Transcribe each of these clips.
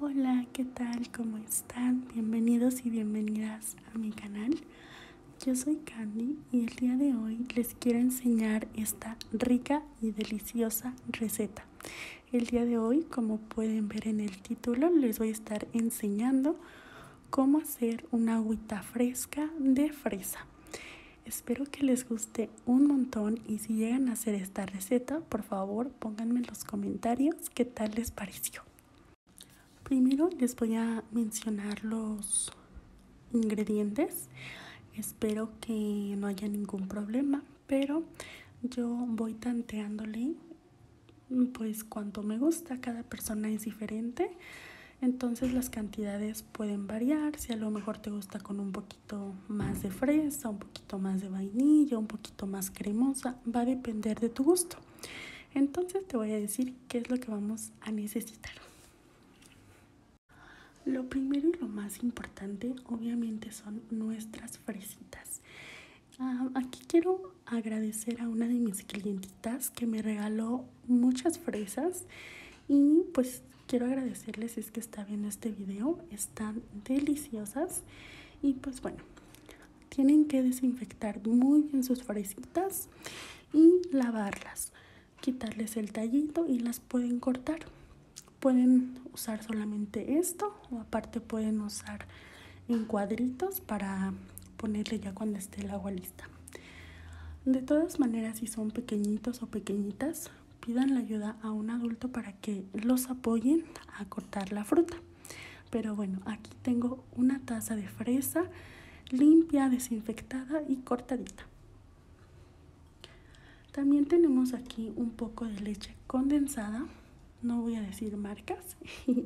Hola, ¿qué tal? ¿Cómo están? Bienvenidos y bienvenidas a mi canal. Yo soy Candy y el día de hoy les quiero enseñar esta rica y deliciosa receta. El día de hoy, como pueden ver en el título, les voy a estar enseñando cómo hacer una agüita fresca de fresa. Espero que les guste un montón y si llegan a hacer esta receta, por favor pónganme en los comentarios qué tal les pareció. Primero les voy a mencionar los ingredientes. Espero que no haya ningún problema, pero yo voy tanteándole pues cuanto me gusta, cada persona es diferente. Entonces las cantidades pueden variar, si a lo mejor te gusta con un poquito más de fresa, un poquito más de vainilla, un poquito más cremosa, va a depender de tu gusto. Entonces te voy a decir qué es lo que vamos a necesitar. Lo primero y lo más importante obviamente son nuestras fresitas. Ah, aquí quiero agradecer a una de mis clientitas que me regaló muchas fresas y pues quiero agradecerles es que está viendo este video, están deliciosas y pues bueno, tienen que desinfectar muy bien sus fresitas y lavarlas, quitarles el tallito y las pueden cortar. Pueden usar solamente esto o aparte pueden usar en cuadritos para ponerle ya cuando esté el agua lista. De todas maneras, si son pequeñitos o pequeñitas, pidan la ayuda a un adulto para que los apoyen a cortar la fruta. Pero bueno, aquí tengo una taza de fresa limpia, desinfectada y cortadita. También tenemos aquí un poco de leche condensada, no voy a decir marcas.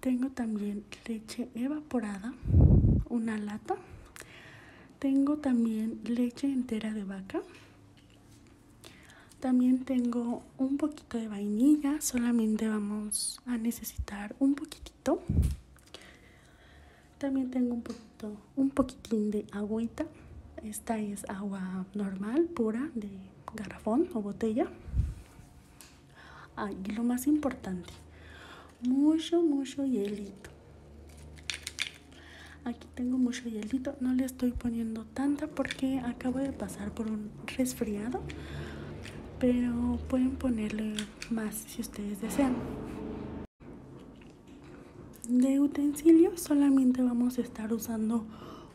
tengo también leche evaporada, una lata. Tengo también leche entera de vaca. También tengo un poquito de vainilla, solamente vamos a necesitar un poquitito. También tengo un poquito, un poquitín de agüita. Esta es agua normal, pura, de garrafón o botella. y lo más importante, mucho, mucho hielito. Aquí tengo mucho hielito, no le estoy poniendo tanta porque acabo de pasar por un resfriado, pero pueden ponerle más si ustedes desean. De utensilio solamente vamos a estar usando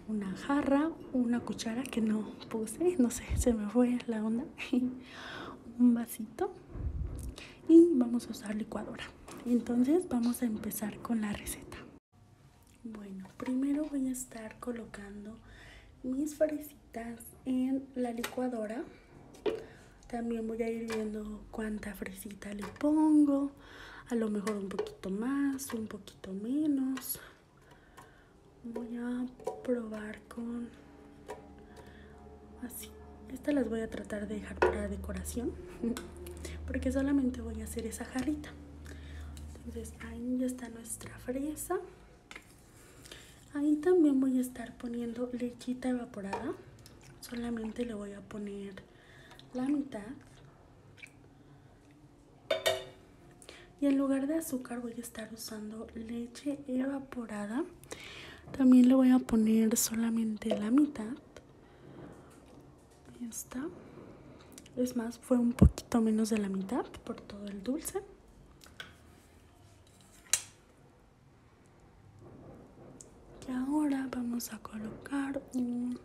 una jarra, una cuchara que no puse, no sé, se me fue la onda, un vasito y vamos a usar licuadora entonces vamos a empezar con la receta bueno primero voy a estar colocando mis fresitas en la licuadora también voy a ir viendo cuánta fresita le pongo a lo mejor un poquito más un poquito menos voy a probar con así estas las voy a tratar de dejar para decoración porque solamente voy a hacer esa jarrita entonces ahí ya está nuestra fresa ahí también voy a estar poniendo lechita evaporada solamente le voy a poner la mitad y en lugar de azúcar voy a estar usando leche evaporada también le voy a poner solamente la mitad Ahí está es más fue un poquito menos de la mitad por todo el dulce y ahora vamos a colocar un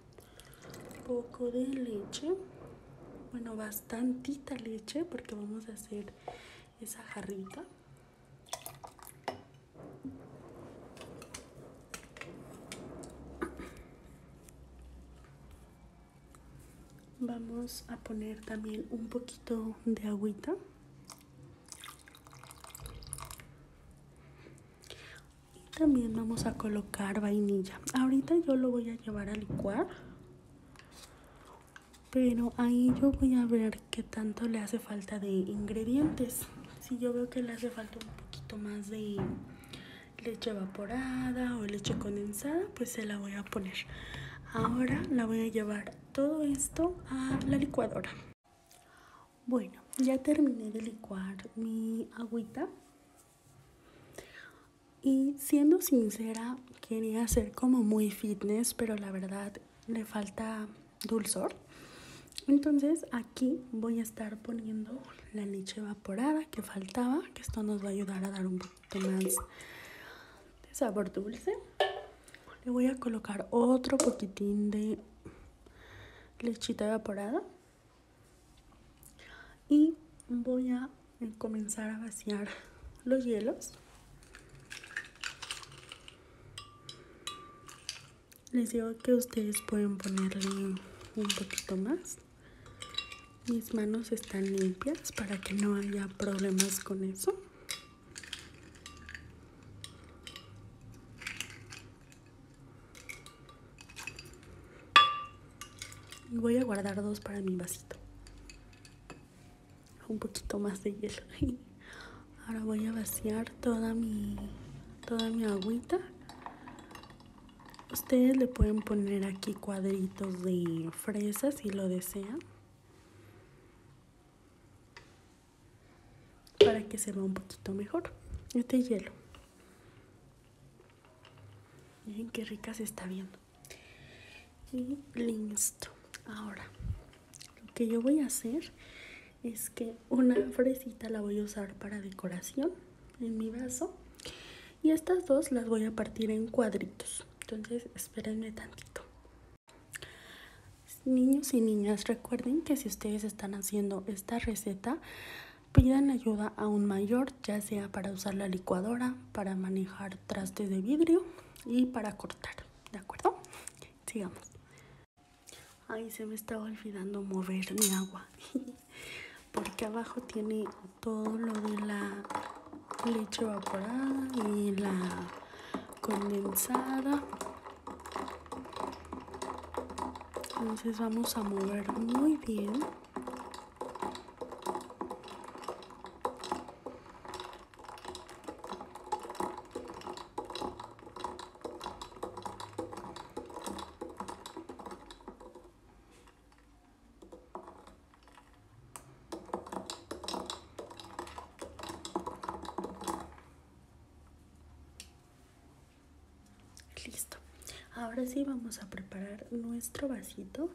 poco de leche bueno va bastante leche porque vamos a hacer esa jarrita vamos a poner también un poquito de agüita y también vamos a colocar vainilla ahorita yo lo voy a llevar a licuar pero ahí yo voy a ver qué tanto le hace falta de ingredientes. Si yo veo que le hace falta un poquito más de leche evaporada o leche condensada, pues se la voy a poner. Ahora la voy a llevar todo esto a la licuadora. Bueno, ya terminé de licuar mi agüita. Y siendo sincera, quería hacer como muy fitness, pero la verdad le falta dulzor. Entonces aquí voy a estar poniendo la leche evaporada que faltaba, que esto nos va a ayudar a dar un poquito más de sabor dulce. Le voy a colocar otro poquitín de lechita evaporada y voy a comenzar a vaciar los hielos les digo que ustedes pueden ponerle un poquito más mis manos están limpias para que no haya problemas con eso y voy a guardar dos para mi vasito. Un poquito más de hielo. Ahora voy a vaciar toda mi toda mi agüita. Ustedes le pueden poner aquí cuadritos de fresa si lo desean. Para que se vea un poquito mejor. Este hielo. Miren qué rica se está viendo. Y listo. Ahora, lo que yo voy a hacer es que una fresita la voy a usar para decoración en mi vaso. Y estas dos las voy a partir en cuadritos. Entonces, espérenme tantito. Niños y niñas, recuerden que si ustedes están haciendo esta receta, Pidan ayuda a un mayor, ya sea para usar la licuadora, para manejar trastes de vidrio y para cortar, ¿de acuerdo? Sigamos. Ay, se me estaba olvidando mover mi agua. Porque abajo tiene todo lo de la leche evaporada y la condensada entonces vamos a mover muy bien. Listo. Ahora sí vamos a preparar nuestro vasito.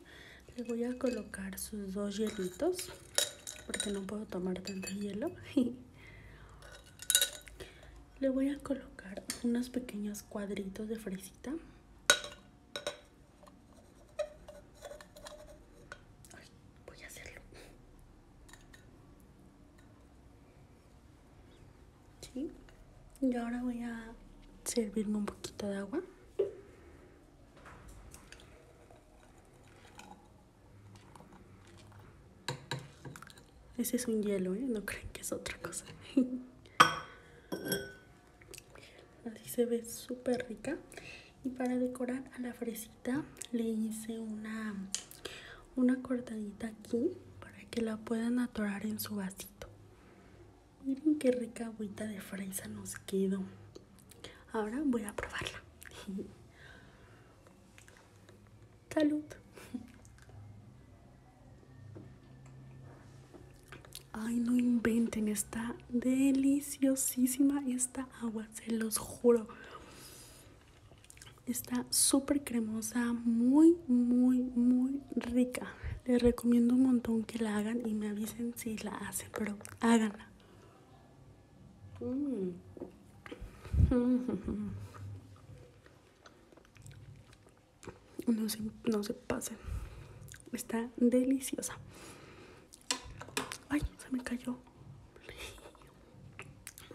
Le voy a colocar sus dos hielitos porque no puedo tomar tanto hielo. Le voy a colocar unos pequeños cuadritos de fresita. voy a hacerlo. Y ahora voy a servirme un poquito de agua. Ese es un hielo, ¿eh? No creo que es otra cosa. Así se ve súper rica. Y para decorar a la fresquita le hice una una cortadita aquí para que la puedan atorar en su vasito miren qué rica agüita de fresa nos quedó ahora voy a probarla salud ay no inventen está deliciosísima esta agua se los juro. Está súper cremosa, muy, muy, muy rica. Les recomiendo un montón que la hagan y me avisen si la hacen, pero háganla. Mm. No se, no se pasen. Está deliciosa. Ay, se me cayó.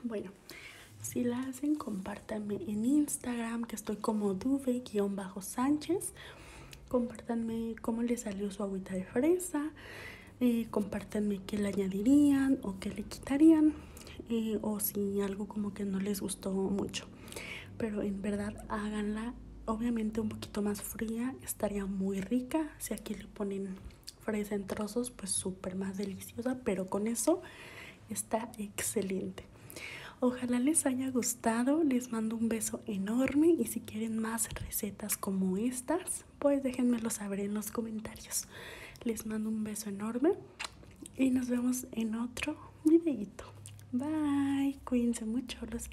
Bueno, si la hacen, compártanme en Instagram, que estoy como duve-sánchez. Compártanme cómo le salió su agüita de fresa. Eh, compártanme qué le añadirían o qué le quitarían. Eh, o si algo como que no les gustó mucho. Pero en verdad háganla obviamente un poquito más fría estaría muy rica. Si aquí le ponen fresa en trozos, pues súper más deliciosa, pero con eso está excelente. Ojalá les haya gustado, les mando un beso enorme y si quieren más recetas como estas, pues déjenmelo saber en los comentarios. Les mando un beso enorme y nos vemos en otro videito. Bye, cuídense mucho, los